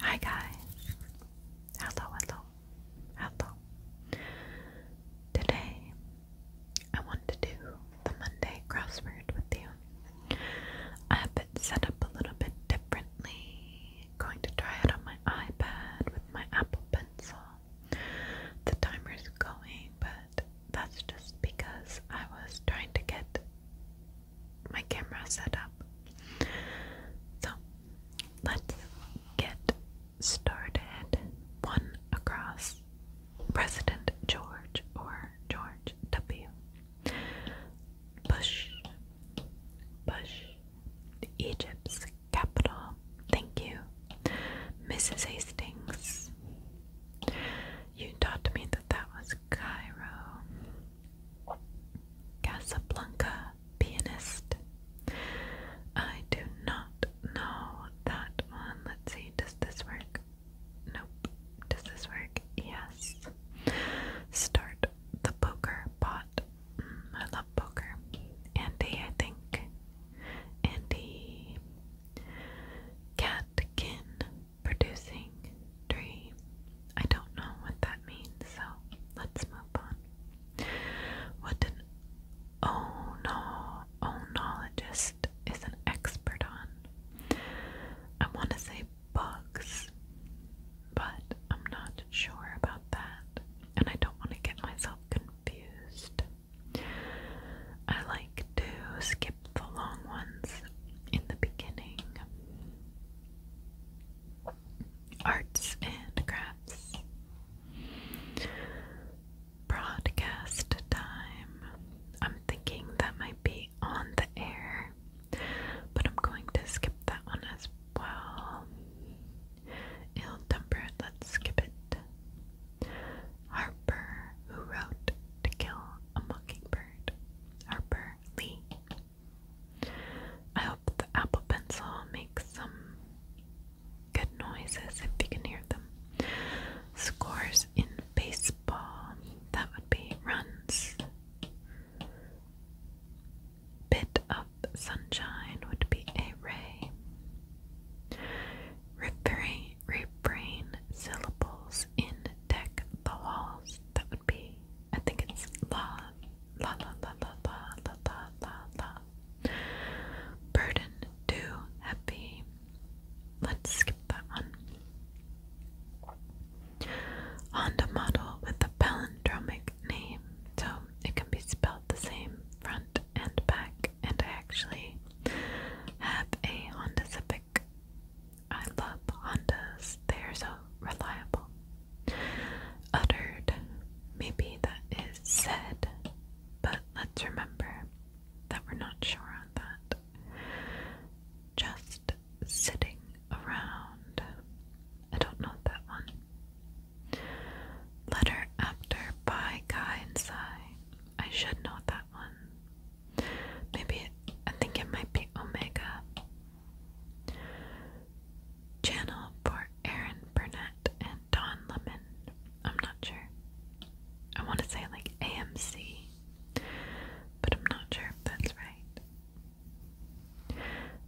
Hi guys. Hello, hello, hello. Today I want to do the Monday crossword with you. I have it set up a little bit differently. Going to try it on my iPad with my Apple Pencil. The timer's going, but that's just because I was trying to get my camera set up. So let's get started. One across President George or George W. Bush. Bush. Egypt's capital. Thank you. Mrs. Hastings. You taught me that that was Cairo. Casablanca pianist. I do not know that one. Let's see, does this work? Nope. Does this work? Yes. Start the poker pot. Mm, I love poker. Andy, I think. Andy Catkin producing dream. I don't know what that means, so let's move on. What an onologist is an expert on. I want to say bugs, but I'm not sure about that, and I don't want to get myself confused. I like to skip the long ones in the beginning arts and crafts, broadcast time. I'm thinking that might be on the air, but I'm going to skip that one as well. Ill tempered, let's skip it. Harper, who wrote To Kill a Mockingbird. Harper Lee, I hope the Apple Pencil makes some good noises if you can hear them. Scores in baseball. That would be runs. Bit of sunshine would be a ray. Refrain, syllables in deck the walls that would be, I think it's la, la, la, la, la, la, la, la, la, la. Burden, too happy. Let's skip that one. Honda model with a palindromic name, so it can be spelled the same front and back. And I actually have a Honda Civic I love Hondas. They are so reliable. Uttered. Maybe that is said, but let's remember that we're not sure on that. Just sitting around. I don't know that one. Letter after by Guy and Psy. I should know that one. Maybe I think it might be Omega. Channel for Aaron Burnett and Don Lemon. I'm not sure. I want to say like AMC, but I'm not sure if that's right.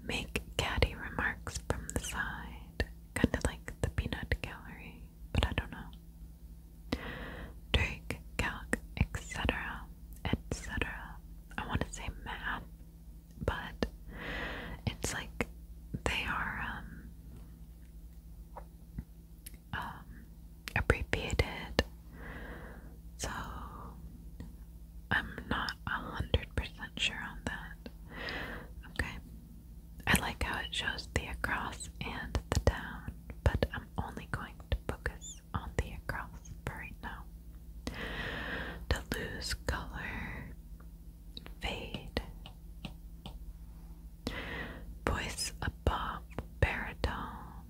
Make catty remarks from the side, kind of like the peanut gallery, but I don't know. Drake, calc, etc., etc. I want to say math, but it's like they are um, um so I'm not a hundred percent sure on that. Okay, I like how it shows the across and the down, but I'm only going to focus on the across right now. To lose color, fade. Voice above baritone.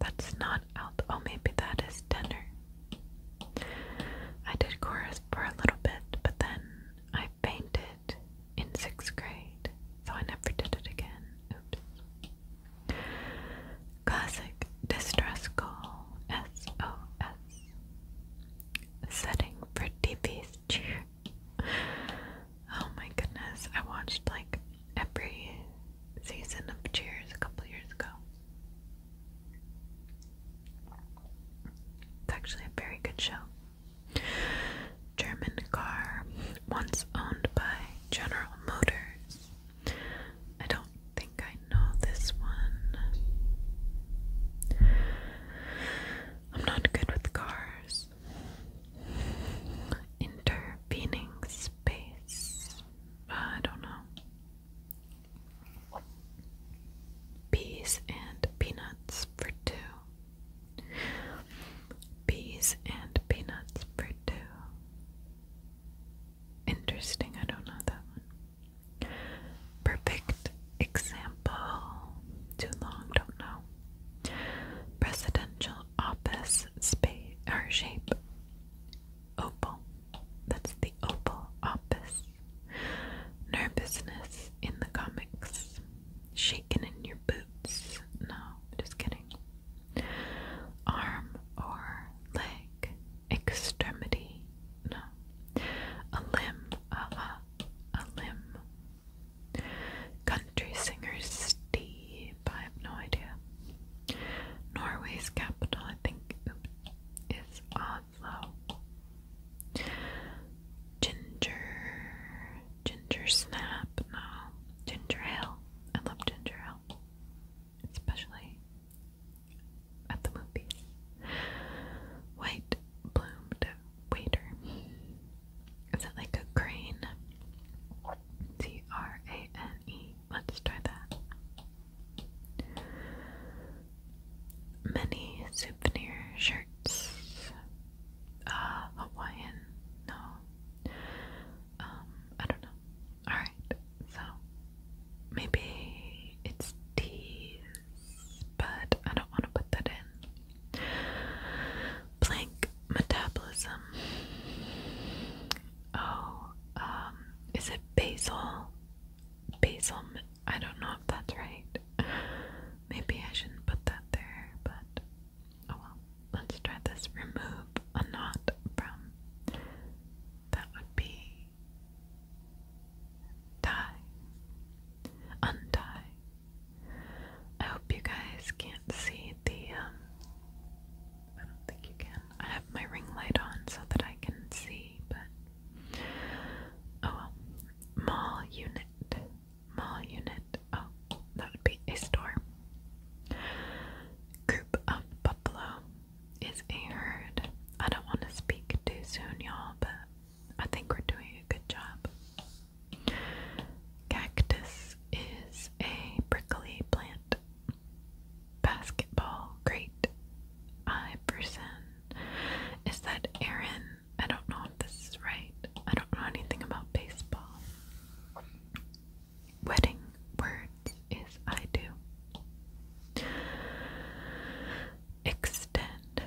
That's not alto. Oh, maybe that is tenor. I did chorus for a little bit, but then I fainted in sixth grade, so I never did it again. Oops. Classic distress call SOS. Setting for TV's cheer. Oh my goodness, I watched like every season of Cheers a couple years ago. It's actually a very good show. German car, once owned by General Motors, I don't think I know this one. I'm not good with cars. Intervening space. Uh, I don't know. Peas and peanuts for two. Peas and peanuts for two. Interesting, I don't know that one. Perfect example. Too long, don't know. Presidential office space or shape. Opal. That's the opal office. Nervousness in the comics. Shaken in your boots. No, just kidding arm or leg, extremity, no, a limb, uh, uh, a limb. Country singer Steve, I have no idea. Norway's capital, I think, is Oslo. Ginger, ginger snap, no. Ginger ale. I love ginger ale especially at the movies. White bloomed waiter. Is it like a crane? C R A N E. Let's try that. Many souvenir shirts. Uh, Hawaiian? No. Um, I don't know. Alright, so maybe it's T's, but I don't want to put that in. Blank metabolism. Oh, um, is it basil? Basil, I don't know if that's right. Maybe I shouldn't put that there, but oh well. Let's try this. Remove a knot from. That would be tie, untie. I hope you guys can't see the. Um, I don't think you can. I have my ring light on so that I can see, but oh well. Mall unit. Mall unit. Oh, that would be a store. Group of buffalo is a I don't want to speak too soon, y'all, but I think we're doing a good job. Cactus is a prickly plant. Basketball great I person is that Aaron? I don't know if this is right. I don't know anything about baseball wedding words is I do. Extend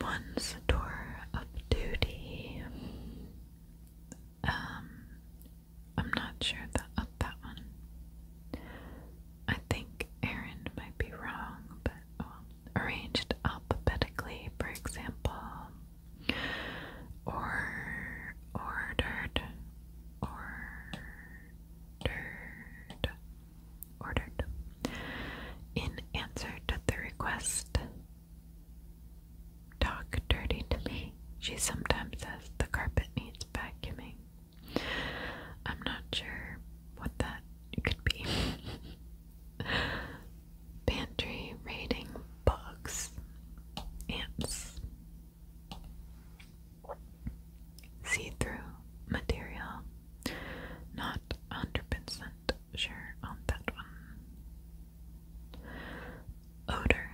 one's tour of duty. Um, I'm not sure that, of that one. I think Aaron might be wrong, but um, arranged alphabetically, for example, or ordered ordered ordered in answer to the request talk dirty to me she sometimes says the carpet needs vacuuming i'm not sure what that could be pantry raiding bugs ants See through material. Not 100% sure on that one. Odor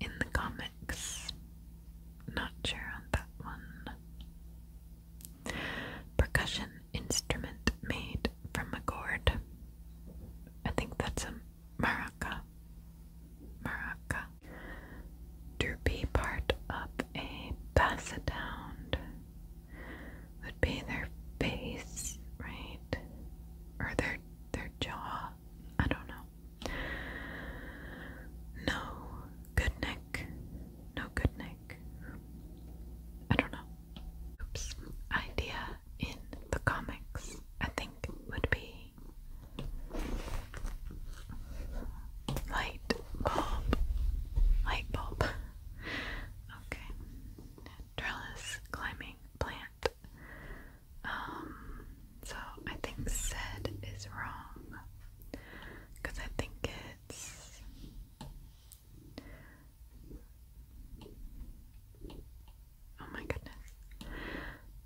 in the comics. Not sure on that one. Percussion instrument made from a gourd. I think that's a Maraca, Maraca. To be part of a basound would be their face, right? Or their their jaw. I don't know. No good neck. No good neck. I don't know. Oops. Idea in the comics I think would be Light bulb. Light bulb. Okay. Trellis climbing plant. Um, so I think said is wrong. Because I think it's. Oh my goodness.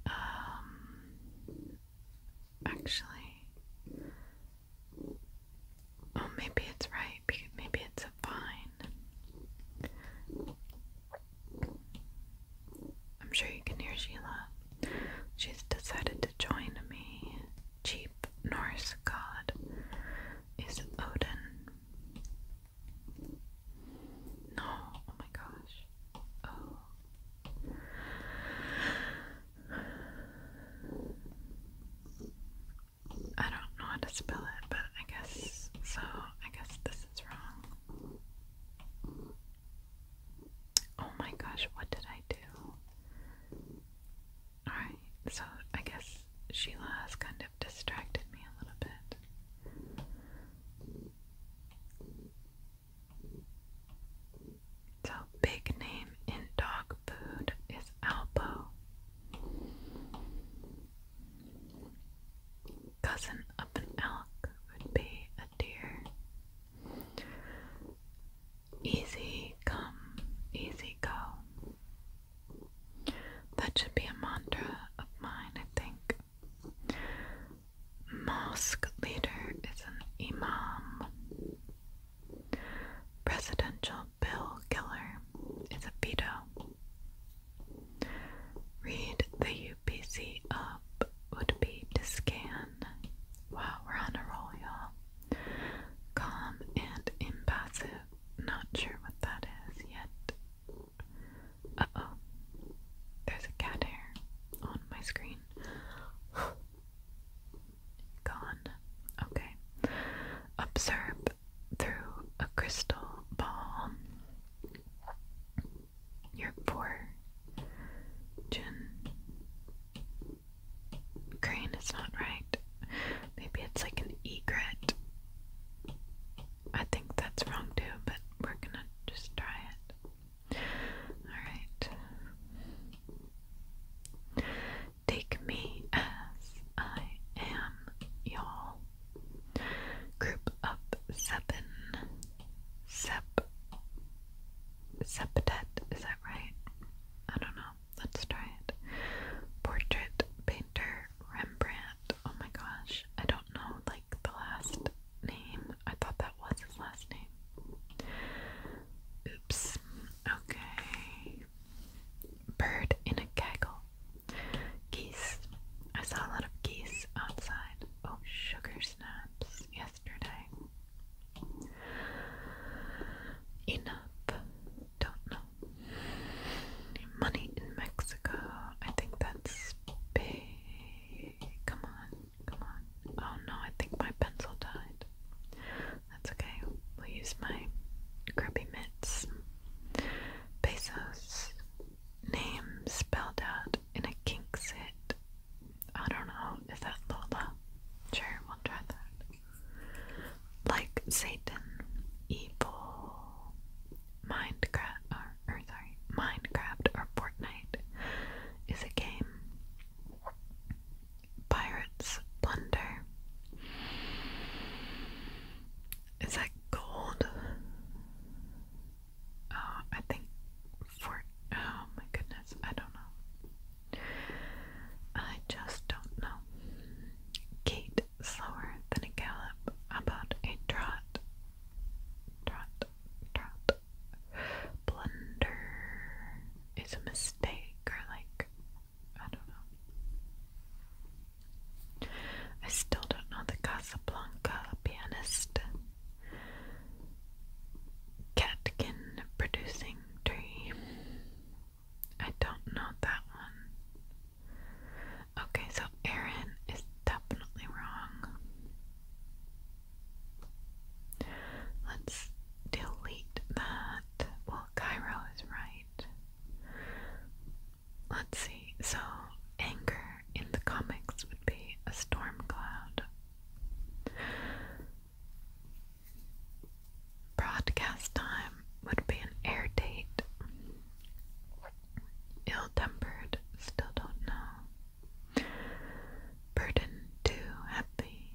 Um, actually, oh, maybe it's right. maybe it's a vine. I'm sure you can hear Sheila. She's decided to join me. Cheap Norse god is Odin. No, oh my gosh. Oh. I don't know how to spell it, but I guess so. I guess this is wrong. Oh my gosh, what did I do? Alright, so I guess Sheila has kind of distracted me a little bit. So, big name in dog food is Alpo. Cousin of an elk would be a deer. Easy come, easy go. That should be a mantra of mine, I think. Mosque leader is an imam. Presidential bill killer is a veto. Read the UPC up would be to scan. Wow, we're on a roll, y'all. Calm and impassive. Not sure what that is yet. Uh oh. There's a cat hair on my screen. Gone. Okay. Observe through a crystal ball your poor Crane is not right. Maybe it's like an egret. I think that's wrong too, but we're gonna just try it. Alright. Take me as I am, y'all. Group up seven. Sep. Septet, is that right? I don't know. Let's try it. Portrait painter Rembrandt. Oh my gosh. I don't know, like the last name. I thought that was his last name. Oops. Okay. Bird in a gaggle. Geese. I saw a lot of geese outside. Oh, sugar snaps yesterday. Enough. Don't know. Money in Mexico. I think that's big. Come on, come on. Oh no, I think my pencil died. That's okay. We'll use my grubby mitts. Pesos. Name spelled out in a kink set. I don't know. if that's Lola? Sure, we'll try that. Like Satan. Evil. Minecraft or sorry, Minecraft or Fortnite is a game. Pirates Plunder. Is that gold? Oh, I think for oh my goodness, I don't know. I just don't know. Gait slower than a gallop, about a trot, Trot, trot. Blunder is a mistake, or like, I don't know. I still don't know the Casablanca pianist. Catkin producing tree. I don't know that one. Okay, so Aaron is definitely wrong. Let's delete that. Well, Cairo is right. Let's see. So, anger in the comics would be a storm cloud. Broadcast time would be an air date. Ill-tempered, still don't know. Burden too heavy,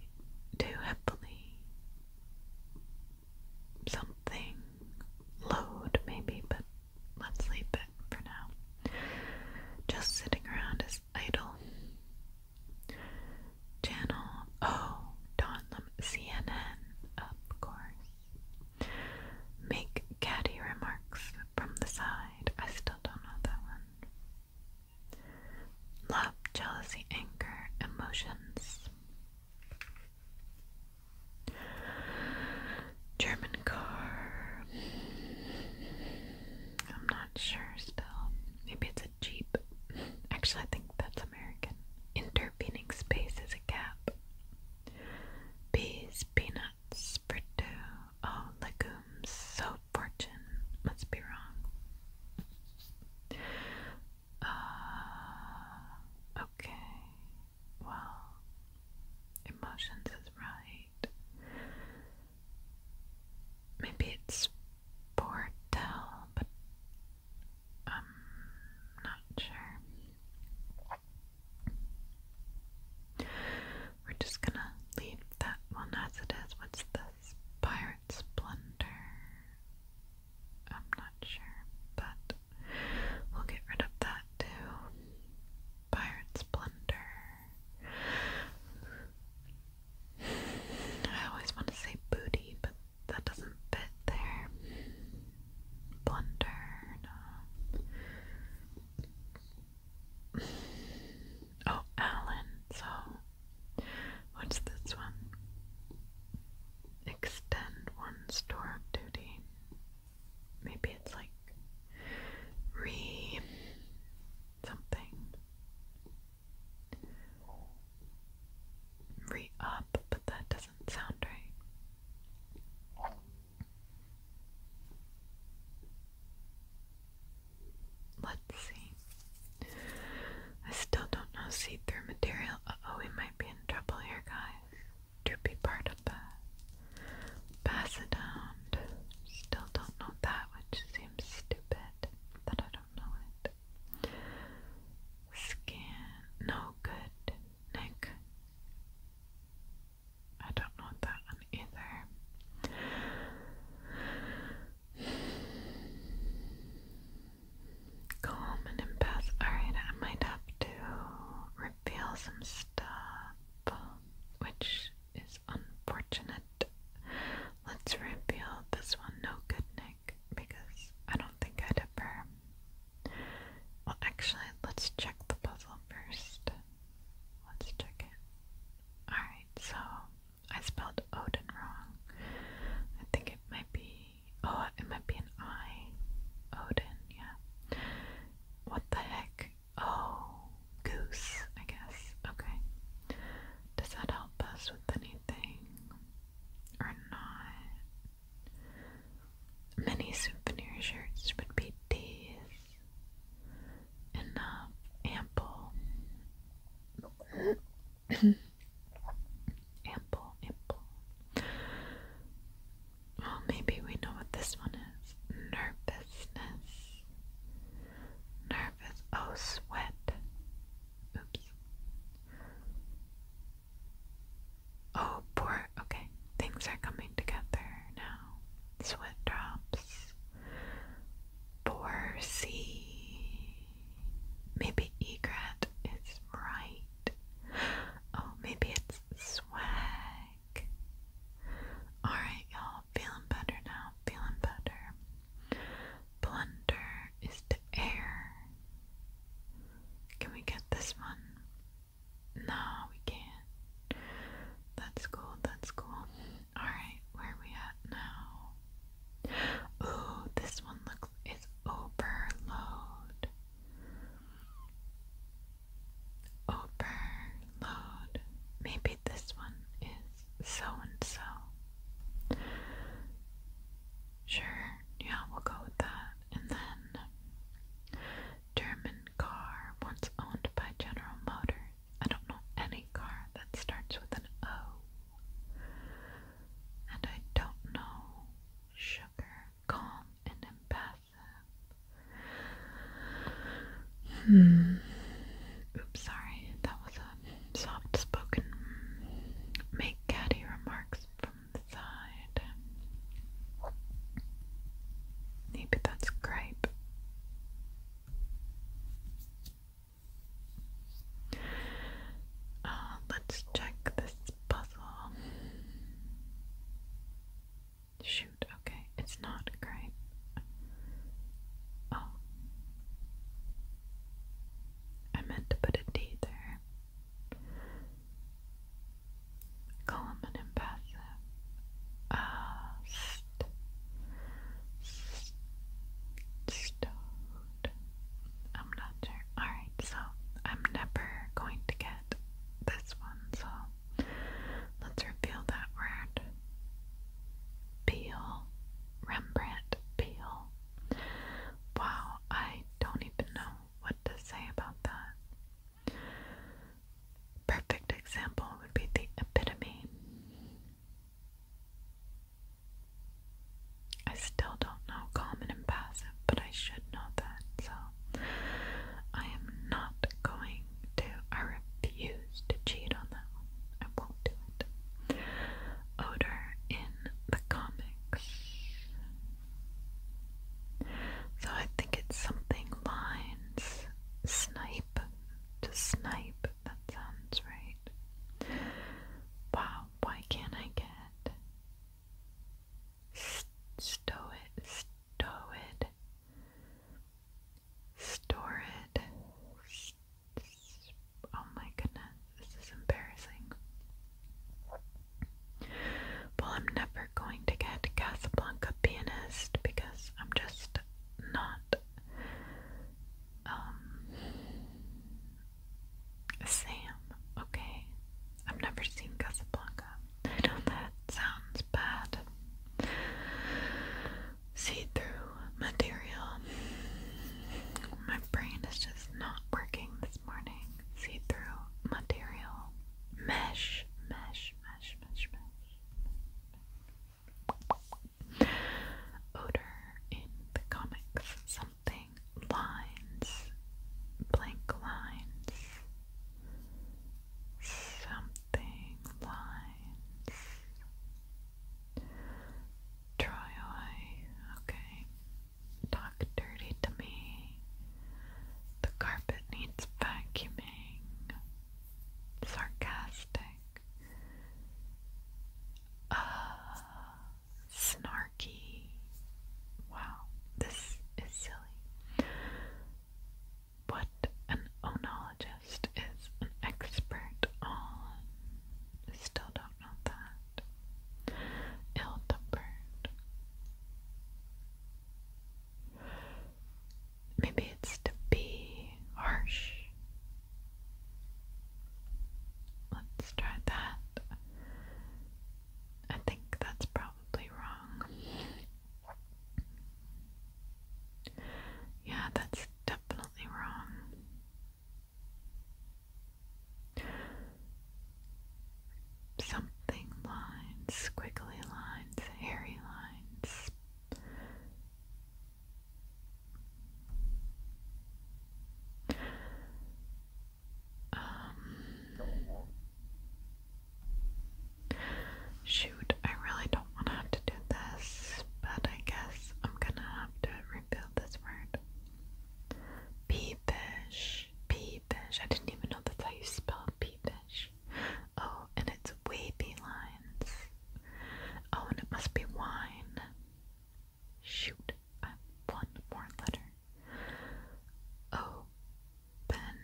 too heavily. Something load maybe, but let's leave it for now. Just sitting around is idle. Channel O, oh, Don CNN, of course. Make catty remarks from the side. I still don't know that one. Love, jealousy, anger, emotions. German car. I'm not sure still. Maybe it's a Jeep. Actually, I think that's American. Intervening space is a gap. Bees, peanuts. Perdu, oh legumes, so fortune must be wrong. Uh, okay, well, emotions is right. Maybe it's Portel, but i not sure. We're just gonna leave that one as it is. What's this? Pirate Splendor. I'm not sure, but we'll get rid of that too. Pirate Splendor. I always want to say booty, but that doesn't fit there. Blunder, Oh, Alan. So, what's this one? Extend one's tour of duty. Maybe it's like re something. Re up, but that doesn't sound right. Let's see. I still don't know see through material. oh, we might be in trouble here, guys. Droopy part of that. Basodont. Still don't know that, which seems stupid that I don't know it. Scan. No good. Nick. I don't want that one either. Calm and Alright, I might have to reveal some stuff, which is unfortunate. Let's reveal this one, no good Nick, because I don't think I'd ever. Well, actually, let's check the puzzle first. Let's check it. Alright, so I spelled Odin wrong. I think it might be. Oh, it might be an I. Odin, yeah. What the heck? Oh, goose, I guess. Okay. Does that help us with anything? Or not? Many souvenir shirts would be these enough, ample, ample, ample. Well, maybe we know what this one is. Nervousness. Nervous. Oh, sweat. Oops. Oh, poor. Okay, things are coming together now. Sweat drops. Poor sea. Maybe egret is right. Oh, maybe it's swag. Alright, y'all. Feeling better now. Feeling better. Plunder is to air. Can we get this one? No, we can't. That's cool, that's cool. Alright, where we at now? Oh, this one looks is overload. Overload. Maybe this one is so and so. Sure, yeah, we'll go with that. And then German car once owned by General Motors. I don't know any car that starts with an O. And I don't know sugar, calm, and impassive. Hmm. Oops, sorry. That was a soft spoken. Make catty remarks from the side. Maybe that's grape. Uh, let's check this puzzle. Shoot, okay, it's not grape. Oh. I meant to put a D there calm and impassive. Ah, st st stowed. I'm not sure. Alright, so I'm never going to get this one, so let's reveal that word. Peel. Rembrandt Peel. Wow, I don't even know what to say about that. Perfect example would be the epitome. I still don't know common and passive, but I should know that, so I am not going to, I refuse to cheat on that I won't do it. Odor in the comics. So I think it's something lines snipe to snipe. That sounds right. Wow, why can't I get stoid, stoid, storid? St oh my goodness, this is embarrassing. Well, I'm never going to get Casablanca Pianist because I'm just not um, Sam, okay? I've never seen Casablanca. that sounds bad. See through material. My brain is just not working this morning. See through material. Mesh, mesh, Smash, smash, smash. mash. in the comics. Something. Lines. Blank lines. Something. Lines. Troy. Okay. Talk dirty to me. The carpet needs vacuuming. Sarcastic. Uh, snarky. Wow, this is silly. What an onologist is an expert on. still don't know that. Ill tempered. Maybe it's to be harsh. Let's try that. I think that's probably wrong. Yeah, that's definitely wrong something lines, squiggly lines, hairy lines. Um, shoot, I really don't want to have to do this, but I guess I'm gonna have to rebuild this word. Peepish, peepish. I didn't even know that's how you spell all Oh, and it's wavy lines. Oh, and it must be wine. Shoot, one more letter. Open,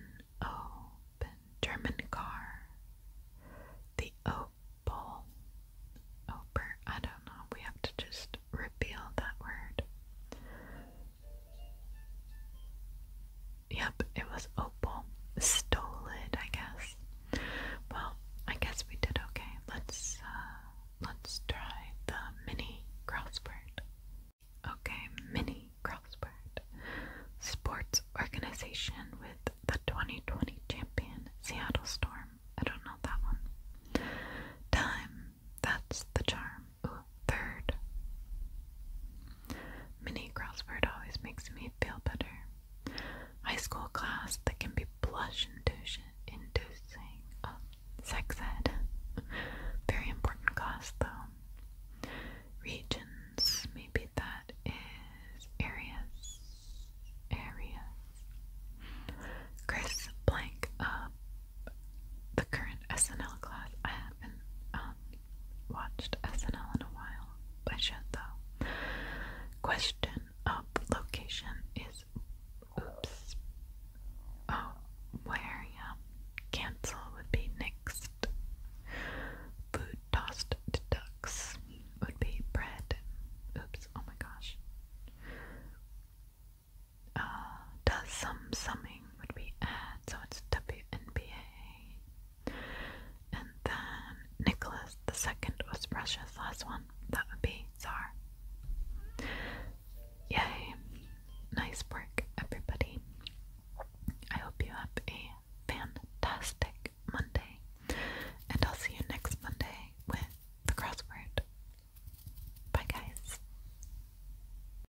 oh, open, oh, German car. The opal. Oper, I don't know, we have to just reveal that word. Yep, it was Opal. Stole it, I guess. Well, I guess we did okay. Let's uh, let's try the mini crossword. Okay, mini crossword. Sports organization with the 2020 champion Seattle Storm. I don't know that one. Time, that's the charm. Ooh, third. Mini crossword always makes me feel better. High school class that can be blush inducing. Um, sex ed. Very important class though. Regions, maybe that is areas. Areas. Chris blank up. Uh, the current SNL class I haven't um, watched SNL in a while. I should though. Question of location is oops. Oh, where yeah. Cancel would be next. Food tossed ducks would be bread. Oops, oh my gosh. Uh, does some summing would be aired, so it's WNBA. And then Nicholas the second was Russia's last one. That would be Tsar. Yay! Nice work, everybody. I hope you have a fantastic Monday, and I'll see you next Monday with the crossword. Bye, guys.